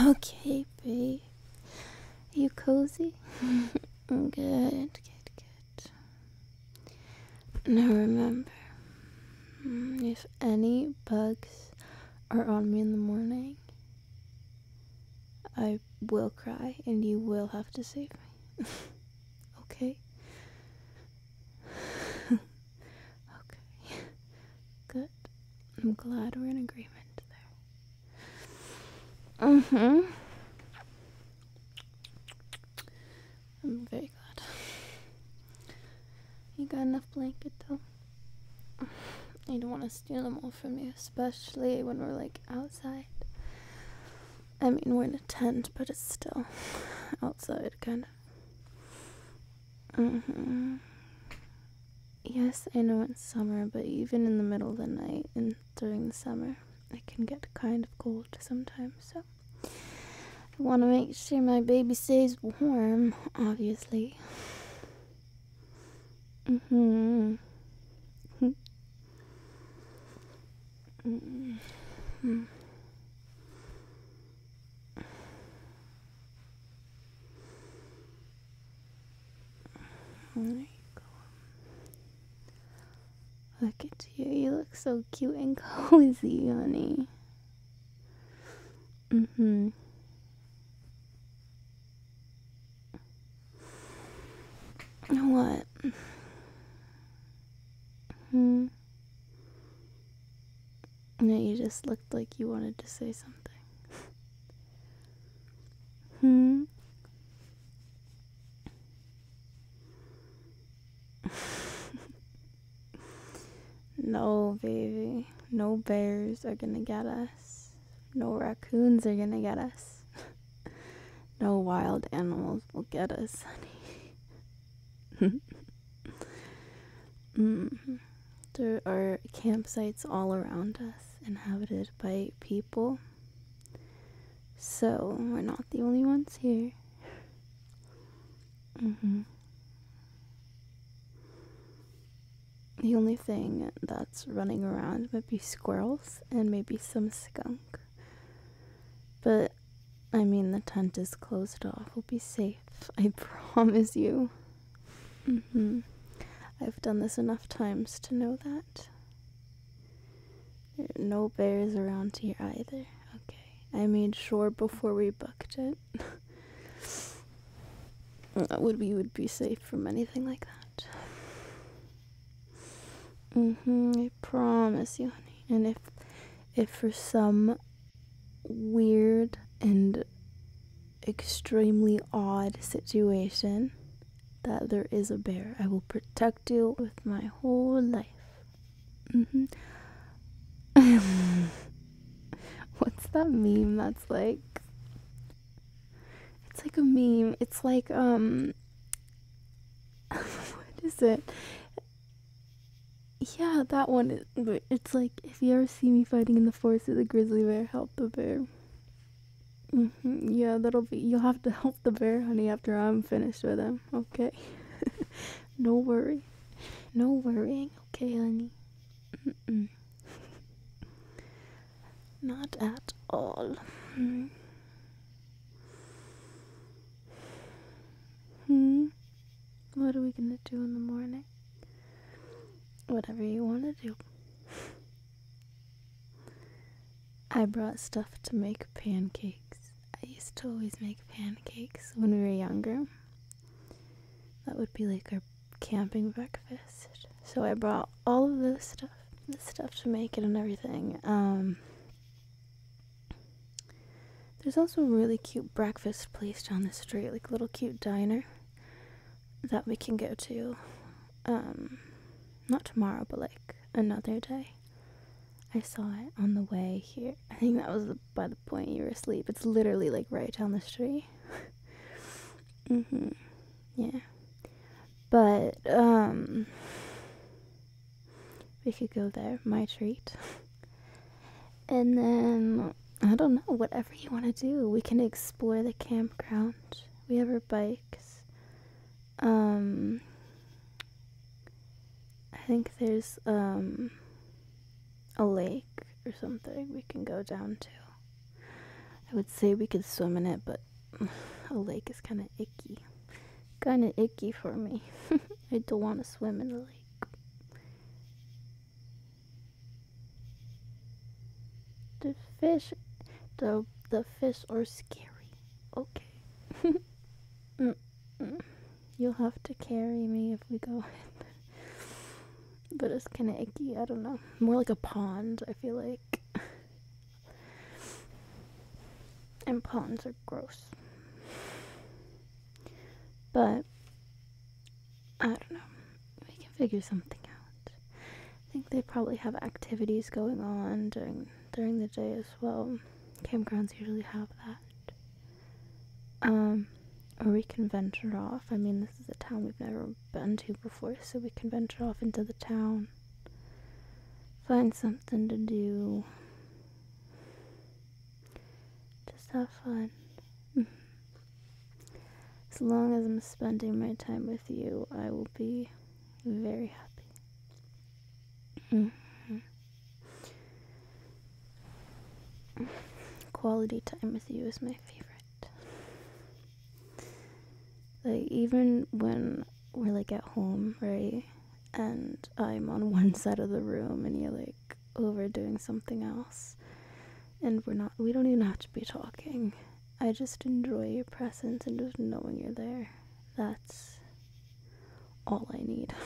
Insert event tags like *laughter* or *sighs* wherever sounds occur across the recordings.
Okay, babe. You cozy? *laughs* good, good, good. Now remember, mm, if any bugs are on me in the morning, I will cry and you will have to save me. *laughs* okay? *laughs* okay. good. I'm glad we're in agreement there. Mm hmm. I'm very glad. You got enough blanket though? I don't want to steal them all from you, especially when we're like outside. I mean, we're in a tent, but it's still outside, kind of. Mm hmm. Yes, I know it's summer, but even in the middle of the night and during the summer, it can get kind of cold sometimes, so I want to make sure my baby stays warm, obviously. Mm-hmm. mm-hmm. Look at you. You look so cute and *laughs* cozy, honey. Mm hmm. What? Hmm. No, you just looked like you wanted to say something. *laughs* Hmm? *laughs* no, baby. No bears are gonna get us. No raccoons are gonna get us. *laughs* no wild animals will get us, honey. *laughs* mm. There are campsites all around us inhabited by people. So, we're not the only ones here. Mm-hmm. The only thing that's running around might be squirrels and maybe some skunk. But I mean, the tent is closed off. We'll be safe. I *laughs* promise you. Mm-hmm. I've done this enough times to know that. There are no bears around here either. Okay. I made sure before we booked it. *laughs* would we would be safe from anything like that. Mm-hmm. I promise you, honey. And if if for some weird and extremely odd situation that there is a bear. I will protect you with my whole life. -hmm. *laughs* What's that meme that's like? It's like a meme. It's like, um, *laughs* what is it? Yeah, that one. It's like, if you ever see me fighting in the forest with a grizzly bear, help the bear. Mm-hmm. Yeah, that'll be. You'll have to *laughs* help the bear, honey, after I'm finished with him. Okay. *laughs* no worry. No worrying. Okay, honey. Not at all. Hmm? hmm. What are we gonna do in the morning? Whatever you want to do. I brought stuff to make pancakes. I used to always make pancakes when we were younger. That would be like our camping breakfast. So I brought all of this stuff, the stuff to make it and everything. Um, there's also a really cute breakfast place down the street, like a little cute diner that we can go to. Um, not tomorrow, but like another day. I saw it on the way here. I think that was by the point you were asleep. It's literally like right down the street. *laughs* mhm. Yeah. But um we could go there, my treat. *laughs* and then I don't know, whatever you want to do. We can explore the campground. We have our bikes. Um I think there's um a lake or something we can go down to. I would say we could swim in it, but *sighs* a lake is kind of icky. Kind of icky for me. *laughs* I don't want to swim in the lake. The fish, the the fish are scary. Okay. *laughs* Mm, mm. You'll have to carry me if we go but it's kind of icky. I don't know. More like a pond. I feel like. and ponds are gross. But I don't know. We can figure something out. I think they probably have activities going on during during the day as well. Campgrounds usually have that. Um, or we can venture off. I mean, this is a town we've never been to before, so we can venture off into the town. Find something to do. Just have fun. *laughs* As long as I'm spending my time with you, I will be very happy. Mm-hmm. Quality time with you is my favorite. Like, even when we're like at home, right? And I'm on *laughs* one side of the room and you're like over doing something else. And we're not, we don't even have to be talking. I just enjoy your presence and just knowing you're there. That's all I need. *laughs*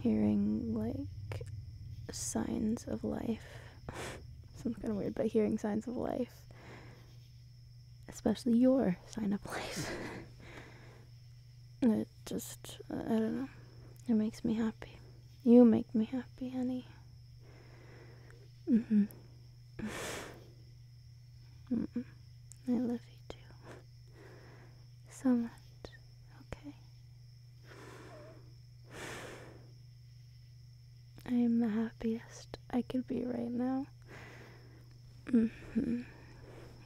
hearing like signs of life. *laughs* Sounds kind of weird, but hearing signs of life, especially your sign of life, *laughs* it just, I don't know, it makes me happy. You make me happy, honey. Mm-hmm. mm-hmm. I love you too. So much. Okay. I am the happiest I could be right now. -hmm.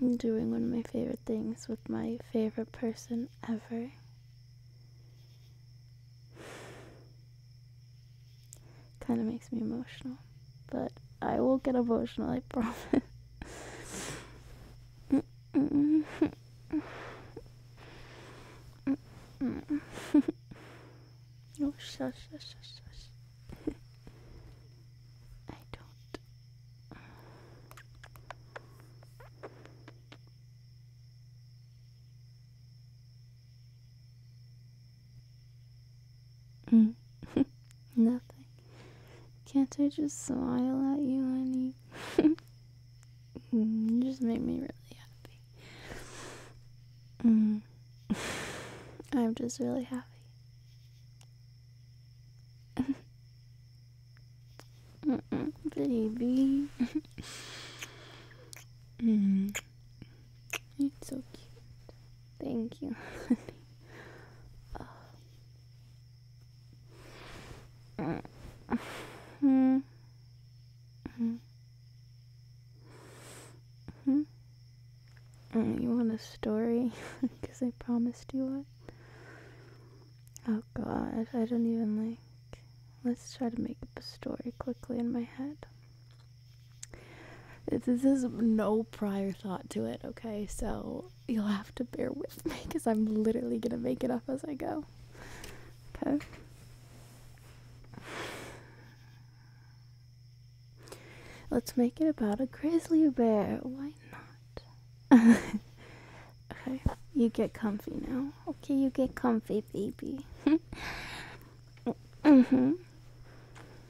I'm doing one of my favorite things with my favorite person ever kind of makes me emotional, but I will get emotional, I promise. oh, shush, shush, shush, shush. I don't. Mm. *laughs* Nothing. Can't I just smile at you, honey? *laughs* Mm, you just make me really happy. Mm. *laughs* I'm just really happy. Mm -mm, baby. mm. It's so cute. Thank you. oh. -hmm. -hmm. -hmm. You want a story? Because I promised you one. Oh god, I don't even like. Let's try to make up a story quickly in my head. This is no prior thought to it, okay? So you'll have to bear with me because I'm literally gonna make it up as I go. Okay? Let's make it about a grizzly bear. Why not? okay, you get comfy now. Okay, you get comfy, baby. mm hmm.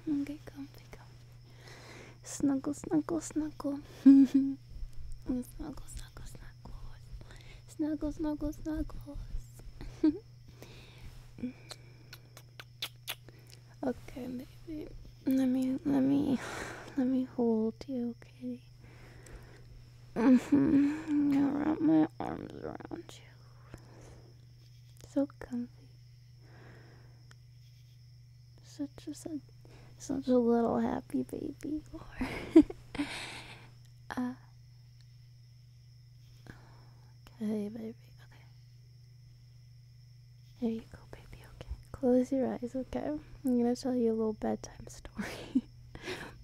Okay, comfy, comfy. *laughs* Snuggle, snuggle, snuggle. snuggle, snuggle, snuggle. Snuggle, snuggle, snuggles. *laughs* okay, baby. Let me, let me, let me hold you, okay? baby. Mm-hmm. wrap my arms around you. So comfy. Such a such, a little happy baby. *laughs* uh, okay, baby. Okay. There you go, baby. Okay. Close your eyes. Okay. I'm gonna tell you a little bedtime *laughs* story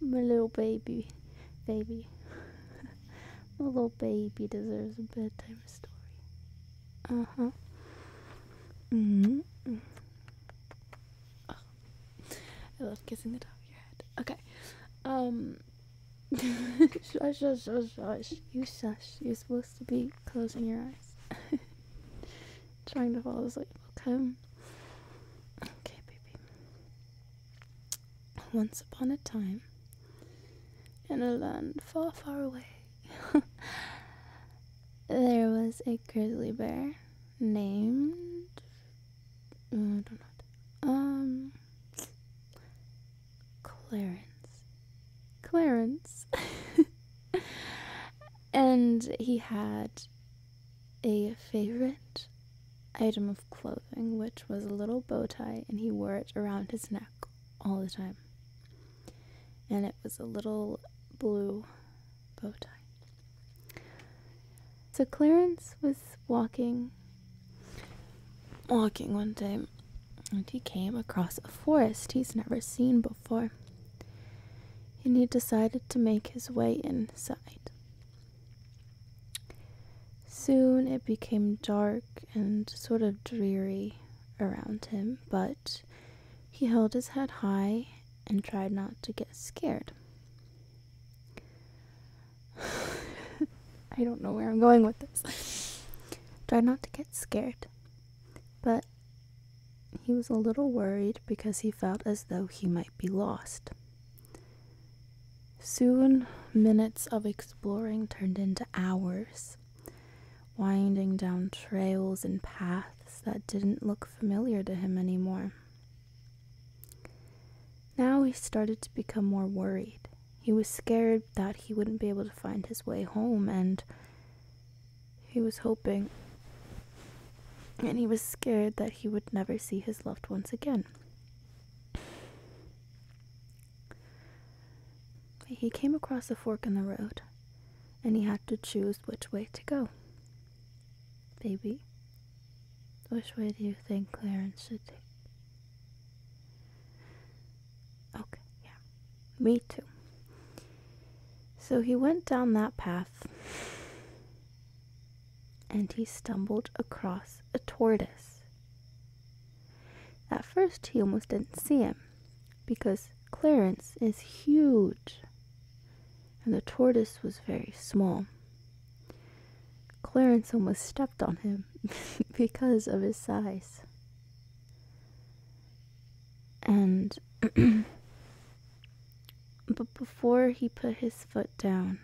my little baby, baby, *laughs* my little baby deserves a bedtime story. Uh huh. Mm hmm. Oh. I love kissing the top of your head. Okay. Um. *laughs* shush, shush, shush, shush. You shush. You're supposed to be closing your eyes. *laughs* trying to fall asleep. Okay. Okay, baby. Once upon a time, in a land far, far away, *laughs* there was a grizzly bear named. I don't know. Um. Clarence. Clarence. *laughs* and he had a favorite item of clothing, which was a little bow tie, and he wore it around his neck all the time. And it was a little blue bow tie. So Clarence was walking, walking one day, and he came across a forest he's never seen before. And he decided to make his way inside. Soon it became dark and sort of dreary around him, but he held his head high and tried not to get scared. *laughs* I don't know where I'm going with this. tried not to get scared, but he was a little worried because he felt as though he might be lost. Soon, minutes of exploring turned into hours, winding down trails and paths that didn't look familiar to him anymore. Now he started to become more worried. He was scared that he wouldn't be able to find his way home, and he was hoping and he was scared that he would never see his loved ones again. He came across a fork in the road, and he had to choose which way to go. Baby, which way do you think Clarence should take? Okay, yeah. Me too. So he went down that path, and he stumbled across a tortoise. At first, he almost didn't see him because Clarence is huge and the tortoise was very small. Clarence almost stepped on him *laughs* because of his size. And *clears throat* But before he put his foot down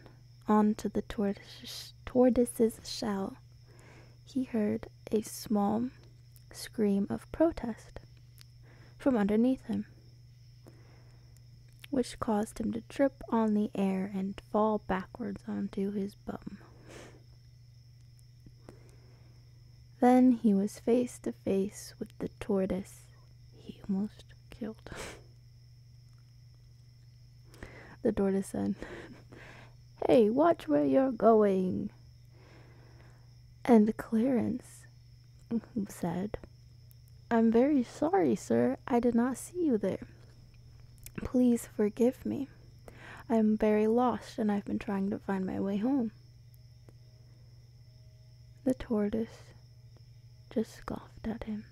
onto the tortoise's shell, he heard a small scream of protest from underneath him, which caused him to trip on the air and fall backwards onto his bum. Then he was faced. to face with the tortoise he almost killed. *laughs* the tortoise said, Hey, watch where you're going. And Clarence said, I'm very sorry, sir. I did not see you there. Please forgive me. I am very lost and I've been trying to find my way home. The tortoise just scoffed at him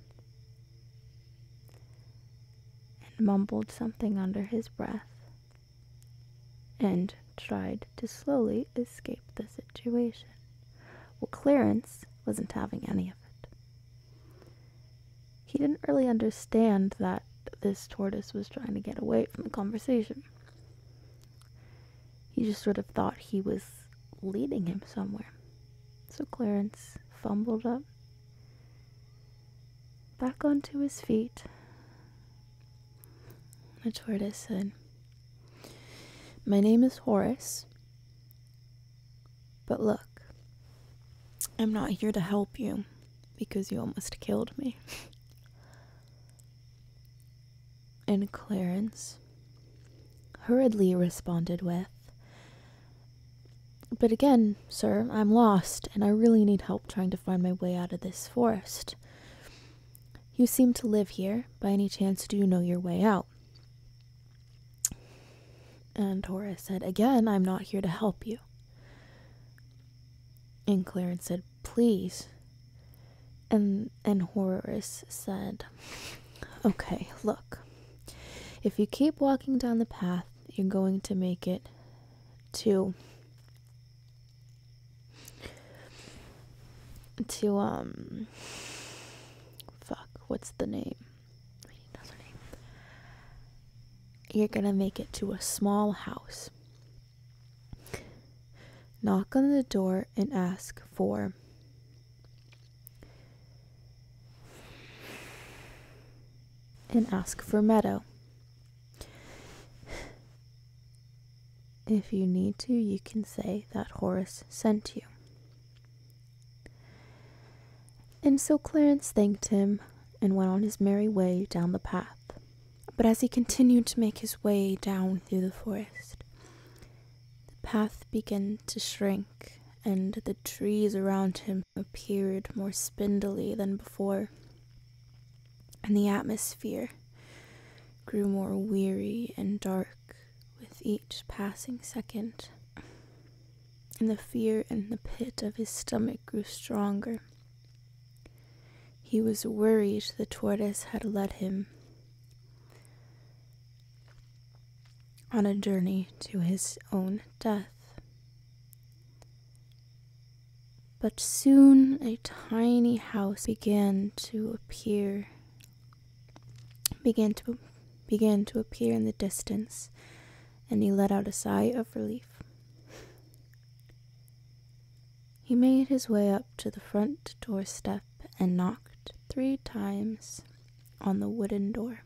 and mumbled something under his breath and tried to slowly escape the situation. Well, Clarence wasn't having any of it. He didn't really understand that this tortoise was trying to get away from the conversation. He just sort of thought he was leading him somewhere. So Clarence fumbled up, back onto his feet. The tortoise said, My name is Horace, but look, I'm not here to help you because you almost killed me and Clarence hurriedly responded with, But again, sir, I'm lost, and I really need help trying to find my way out of this forest. You seem to live here. By any chance, do you know your way out? And Horace said, Again, I'm not here to help you. And Clarence said, Please, and, and Horus said, Okay, look. If you keep walking down the path, you're going to make it to to um fuck, what's the name. You're gonna make it to a small house. Knock on the door and ask for and ask for Meadow. If you need to, you can say that Horace sent you. And so Clarence thanked him and went on his merry way down the path. But as he continued to make his way down through the forest, the path began to shrink, and the trees around him appeared more spindly than before, and the atmosphere grew more weary and dark with each passing second, and the fear in the pit of his stomach grew stronger. He was worried the tortoise had led him on a journey to his own death. But soon a tiny house began to appear began to began to appear in the distance, and he let out a sigh of relief. He made his way up to the front doorstep and knocked three times on the wooden door.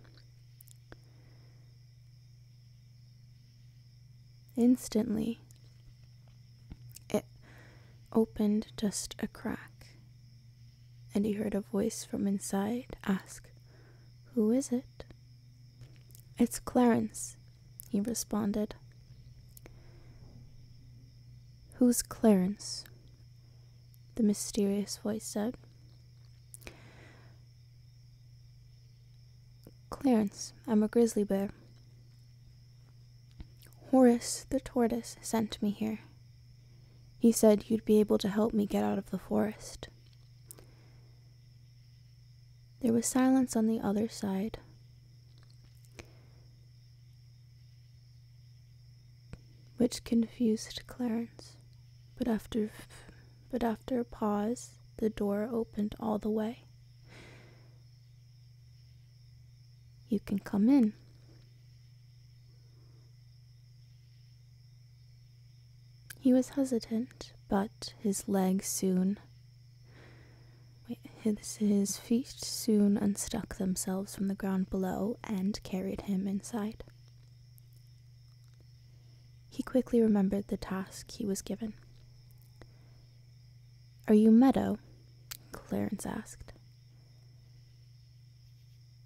Instantly, it opened just a crack, and he heard a voice from inside ask, Who is it? It's Clarence, he responded. Who's Clarence? the mysterious voice said. Clarence, I'm a grizzly bear. Horace the tortoise sent me here. He said you'd be able to help me get out of the forest. There was silence on the other side which confused Clarence. But after, but after a pause, the door opened all the way. You can come in. He was hesitant, but his legs soon. his, his feet soon unstuck themselves from the ground below and carried him inside. He quickly remembered the task he was given. Are you Meadow? Clarence asked.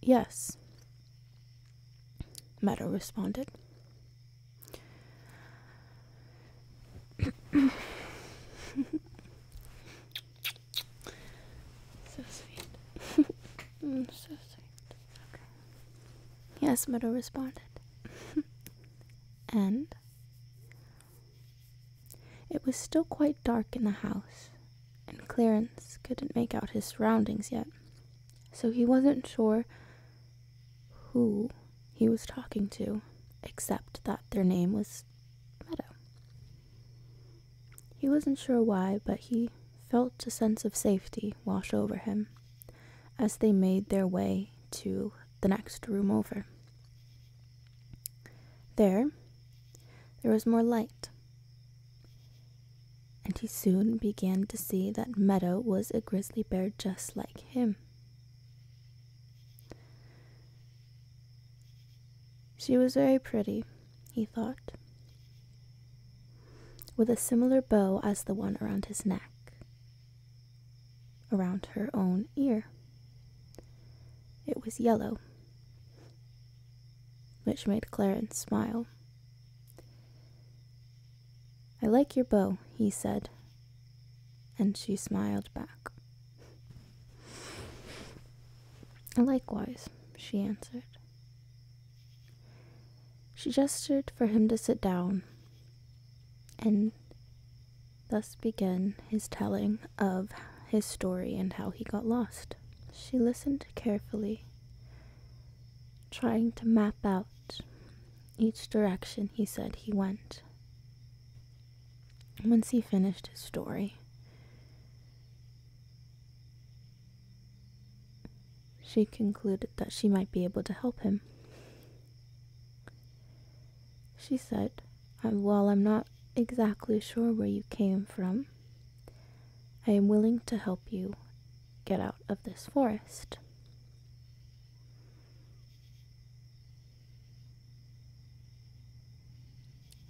Yes, Meadow responded. So sweet. *laughs* Mm, so sweet. Yes, Meadow responded. *laughs* and it was still quite dark in the house, and Clarence couldn't make out his surroundings yet, so he wasn't sure who he was talking to, except that their name was meadow. He wasn't sure why, but he felt a sense of safety wash over him as they made their way to the next room over. There, there was more light, and he soon began to see that Meadow was a grizzly bear just like him. She was very pretty he thought, with a similar bow as the one around his neck, around her own ear. It was yellow, which made Clarence smile. I like your bow, he said, and she smiled back. Likewise, she answered. She gestured for him to sit down, and thus began his telling of his story and how he got lost. She listened carefully, trying to map out each direction he said he went. Once he finished his story, she concluded that she might be able to help him. She said, While I'm not exactly sure where you came from, I am willing to help you get out of this forest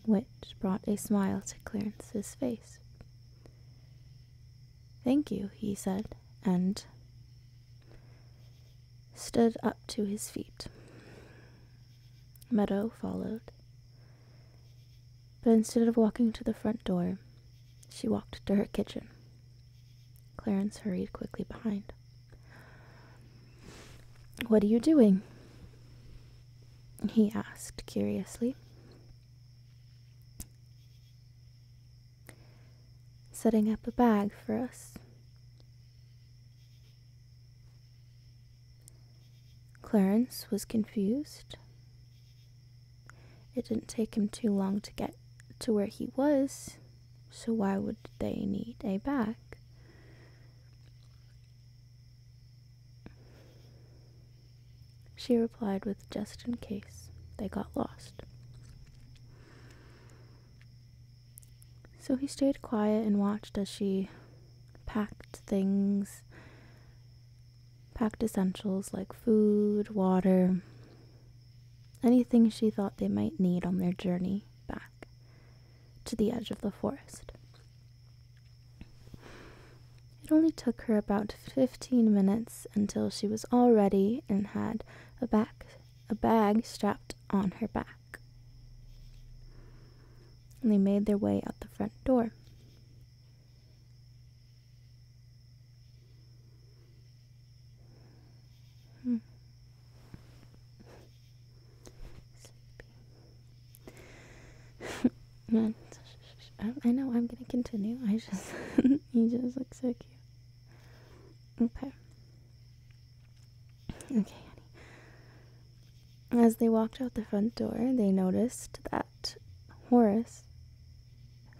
which brought a smile to Clarence's face. Thank you, he said, and stood up to his feet. Meadow followed. But instead of walking to the front door, she walked to her kitchen. Clarence hurried quickly behind. What are you doing? he asked curiously. Setting up a bag for us. Clarence was confused. It didn't take him too long to get to where he was, so why would they need a bag? She replied with just in case they got lost. So he stayed quiet and watched as she packed things, packed essentials like food, water, anything she thought they might need on their journey back to the edge of the forest. It only took her about fifteen minutes until she was all ready and had a bag strapped on her back. And they made their way out the front door. Hmm. *laughs* I know I'm gonna continue. I just *laughs* you just look so cute. Okay. Okay, As they walked out the front door, they noticed that Horace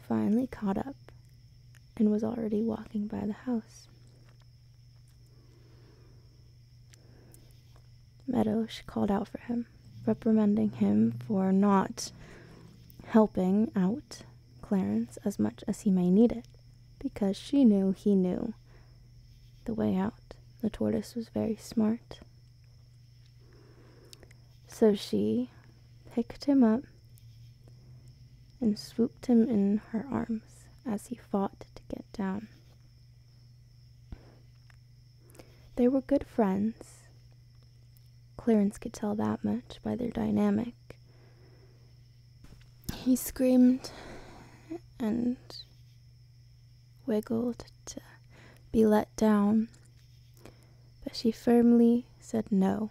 finally caught up and was already walking by the house. Meadows called out for him, reprimanding him for not helping out Clarence as much as he may need it, because she knew he knew the way out. The tortoise was very smart. So she picked him up and swooped him in her arms as he fought to get down. They were good friends. Clarence could tell that much by their dynamic. He screamed and wiggled to be let down, but she firmly said no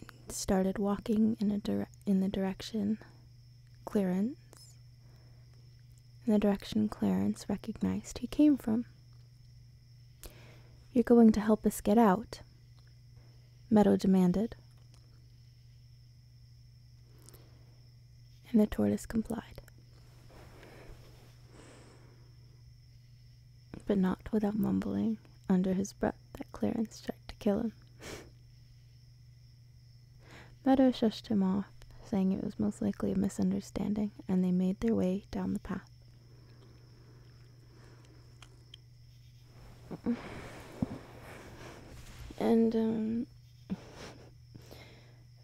and started walking in the direction Clarence in the direction Clarence recognized he came from. You're going to help us get out? Meadow demanded. And the tortoise complied. But not without mumbling under his breath that Clarence tried to kill him. Meadow shushed him off, saying it was most likely a misunderstanding, and they made their way down the path. And, um, *laughs*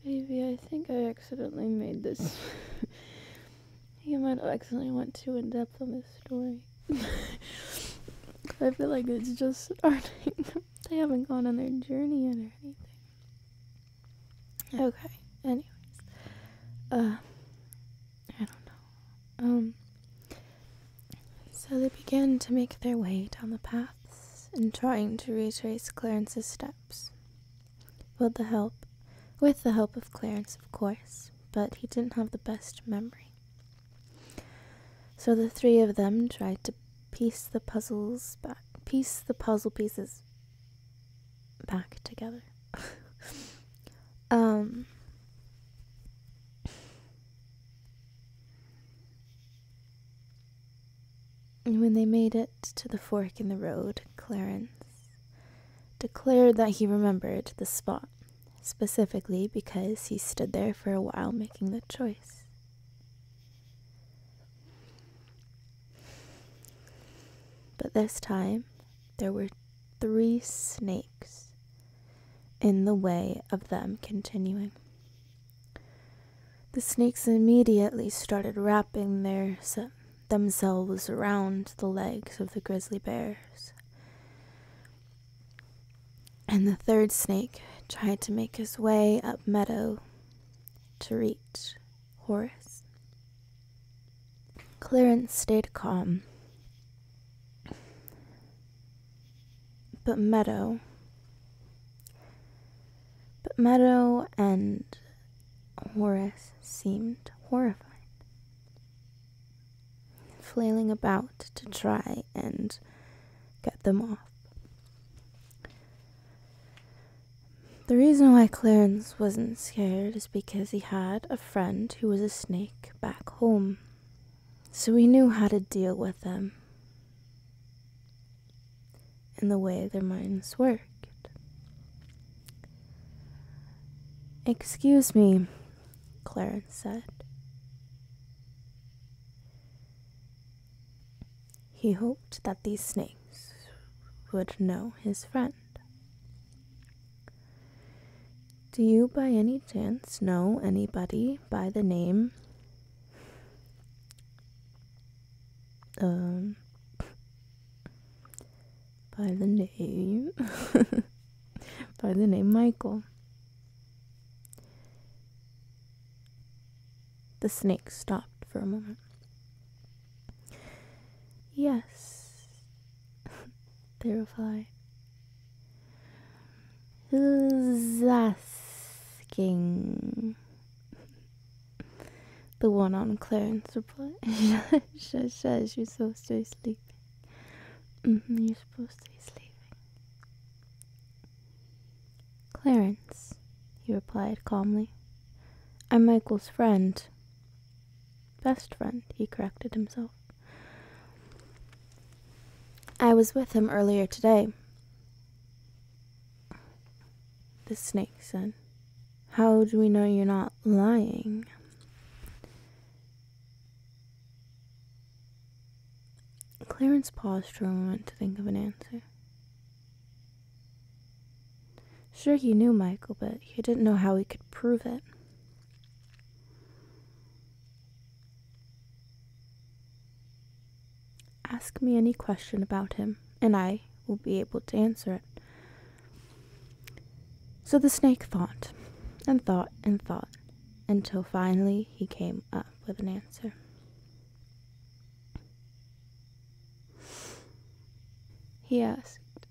baby, I think I accidentally made this. *laughs* you might have accidentally went too in depth on this story. *laughs* I feel like it's just starting. they haven't gone on their journey yet or anything. Okay, anyways. Uh, I don't know. Um, so they began to make their way down the paths and trying to retrace Clarence's steps. With the help, with the help of Clarence, of course, but he didn't have the best memory. So the three of them tried to piece the puzzles back, piece the puzzle pieces back together. *laughs* Um, when they made it to the fork in the road, Clarence declared that he remembered the spot, specifically because he stood there for a while making the choice. But this time there were three snakes in the way of them continuing. The snakes immediately started wrapping their, themselves around the legs of the grizzly bears. And the third snake tried to make his way up meadow to reach Horace. Clarence stayed calm. But Meadow. But Meadow and Horace seemed horrified, flailing about to try and get them off. The reason why Clarence wasn't scared is because he had a friend who was a snake back home, so he knew how to deal with them and the way their minds worked. Excuse me, Clarence said. He hoped that these snakes would know his friend. Do you by any chance know anybody by the name? Um, by the name, *laughs* by the name Michael. The snake stopped for a moment. Yes, *laughs* they replied. Who's asking? The one on Clarence replied. *laughs* shush, shush, you're supposed to be sleeping. Mm-hmm, you're supposed to be sleeping. Clarence, he replied calmly. I'm Michael's friend. Best friend, he corrected himself. I was with him earlier today. The snake said, How do we know you're not lying? Clarence paused for a moment to think of an answer. Sure, he knew Michael, but he didn't know how he could prove it. Ask me any question about him, and I will be able to answer it. So the snake thought, and thought, and thought, until finally he came up with an answer. He asked.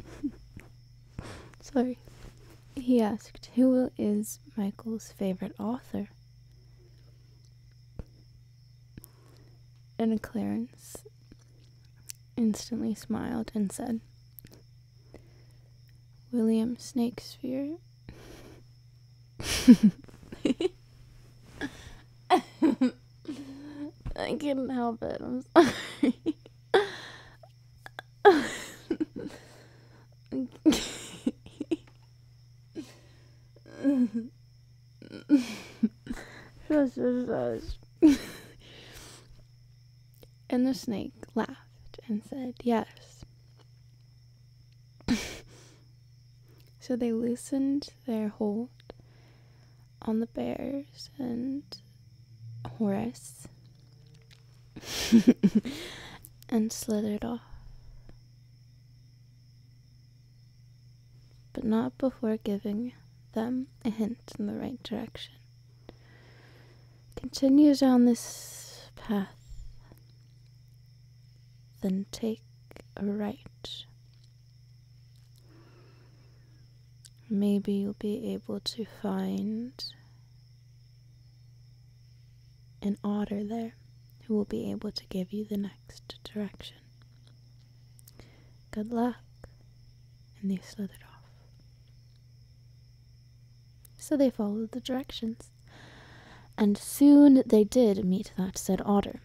*laughs* Sorry. He asked, Who is Michael's favorite author? And Clarence instantly smiled and said, William Snakespeare. I couldn't help it. I'm sorry. shush, shush, shush. and the snake laughed and said, Yes, *laughs* so they loosened their hold on the bears and Horace *laughs* and slithered off. But not before giving them a hint in the right direction. Continue down this path then take a right. Maybe you'll be able to find an otter there who will be able to give you the next direction. Good luck. And they slithered off. So they followed the directions, and soon they did meet that said otter.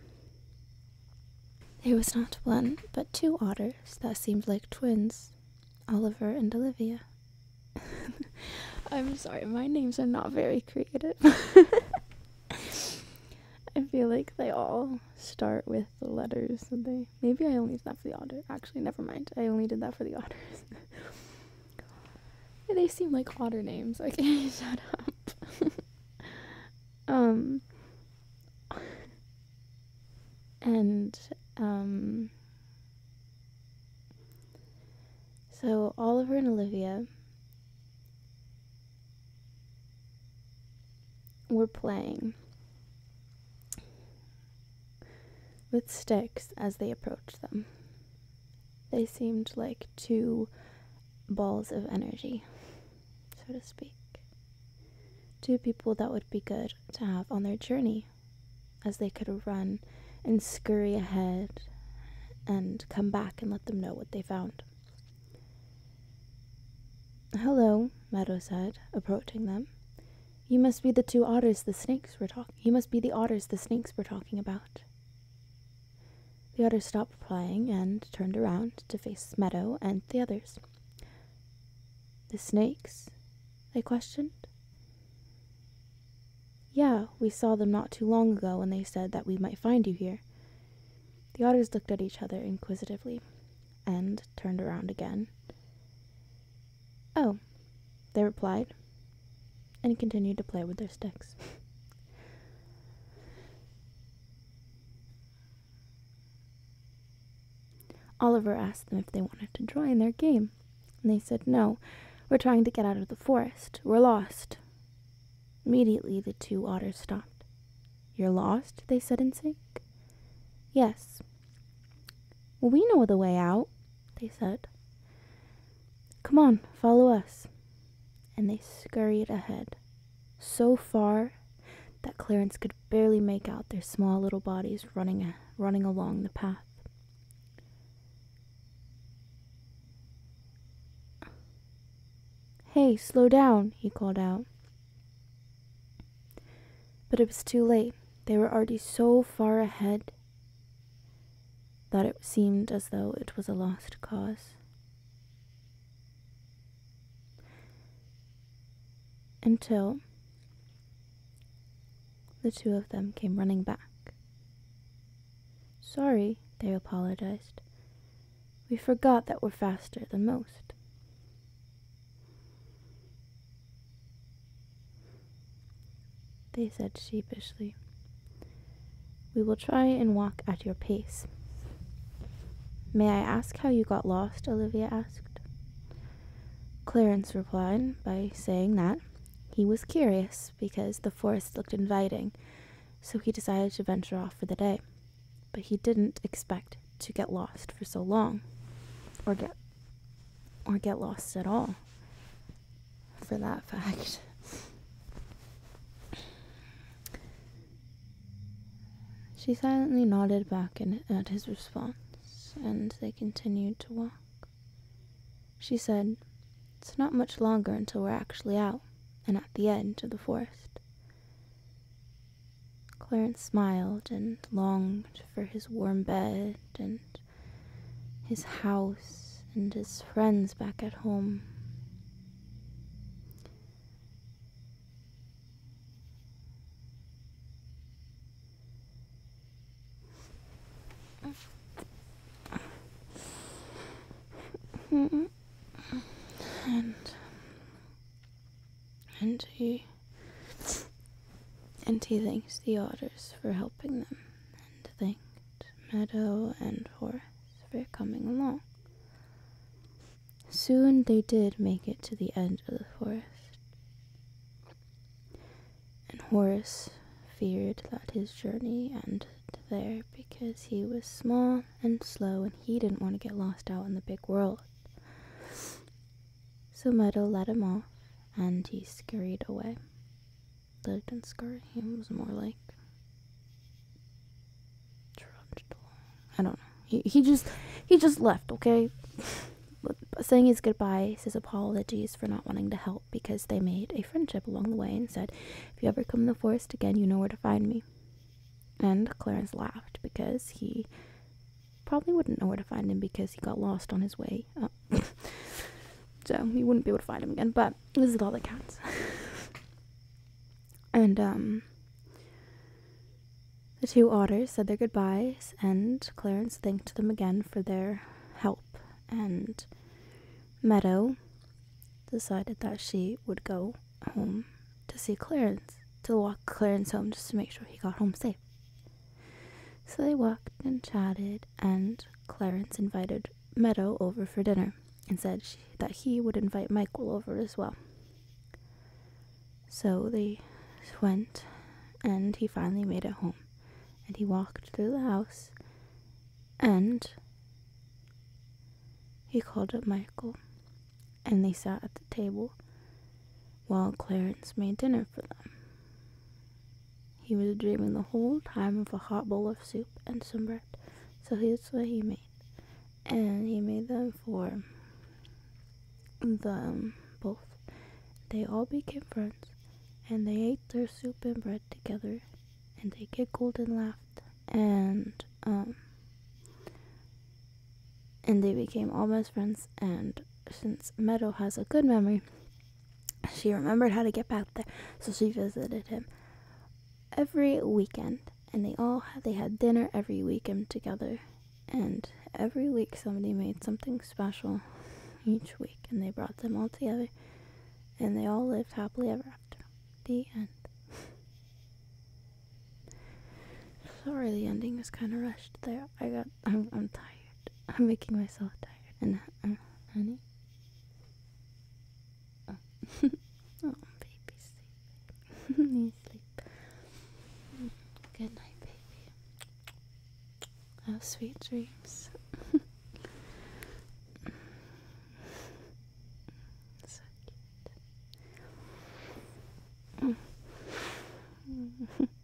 There was not one, but two otters that seemed like twins Oliver and Olivia. *laughs* I'm sorry, my names are not very creative. *laughs* I feel like they all start with the letters that Maybe I only did that for the otters. Actually, never mind. I only did that for the otters. *laughs* they seem like otter names. I can't use that up um, and um, so Oliver and Olivia were playing with sticks as they approached them. They seemed like two balls of energy, so to speak. Two people that would be good to have on their journey as they could run and scurry ahead and come back and let them know what they found. Hello, Meadow said, approaching them. You must be the two otters the snakes were talking. You must be the otters the snakes were talking about. The otters stopped playing and turned around to face Meadow and the others. The snakes? they questioned. Yeah, we saw them not too long ago when they said that we might find you here. The otters looked at each other inquisitively and turned around again. Oh, they replied and continued to play with their sticks. Oliver asked them if they wanted to join their game, and they said, No, we're trying to get out of the forest. We're lost. Immediately, the two otters stopped. You're lost? they said in sync. Yes. we know the way out, they said. Come on, follow us. And they scurried ahead so far that Clarence could barely make out their small little bodies running, running along the path. Hey, slow down, he called out. But it was too late. They were already so far ahead that it seemed as though it was a lost cause. Until the two of them came running back. Sorry, they apologized. We forgot that we're faster than most. They said sheepishly. We will try and walk at your pace. May I ask how you got lost? Olivia asked. Clarence replied by saying that he was curious because the forest looked inviting, so he decided to venture off for the day. But he didn't expect to get lost for so long, or get or get lost at all, for that fact. She silently nodded back at his response, and they continued to walk. She said, It's not much longer until we're actually out and at the edge of the forest. Clarence smiled and longed for his warm bed and his house and his friends back at home and um, and he and he thanks the otters for helping them and thanked Meadow and Horace for coming along. Soon they did make it to the end of the forest, and Horace feared that his journey ended there because he was small and slow and he didn't want to get lost out in the big world. So Meadow let him off and he scurried away. Lived and scurry, was more like. I don't know. He he just he just left. Okay, saying his goodbyes, says apologies for not wanting to help because they made a friendship along the way and said, "If you ever come in the forest again, you know where to find me." And Clarence laughed because he probably wouldn't know where to find him because he got lost on his way *laughs* so he wouldn't be able to find him again, but this is all that counts. *laughs* And um, the two otters said their goodbyes, and Clarence thanked them again for their help. And Meadow decided that she would go home to see Clarence, to walk Clarence home just to make sure he got home safe. So they walked and chatted, and Clarence invited Meadow over for dinner and said that he would invite Michael over as well. So they went, and he finally made it home. And he walked through the house, and he called up Michael, and they sat at the table while Clarence made dinner for them. He was dreaming the whole time of a hot bowl of soup and some bread, so here's what he made. And he made them for them both. They all became friends, and they ate their soup and bread together, and they giggled and laughed, and um, and they became almost friends. And since Meadow has a good memory, she remembered how to get back there, so she visited him every weekend and they all they had dinner every weekend together and every week somebody made something special each week and they brought them all together and they all lived happily ever after the end sorry the ending is kind of rushed there i got I'm, I'm tired i'm making myself tired and uh, honey Oh, *laughs* baby, sleep. you *laughs* sleep. Good night, baby. Have sweet dreams. *laughs* so cute.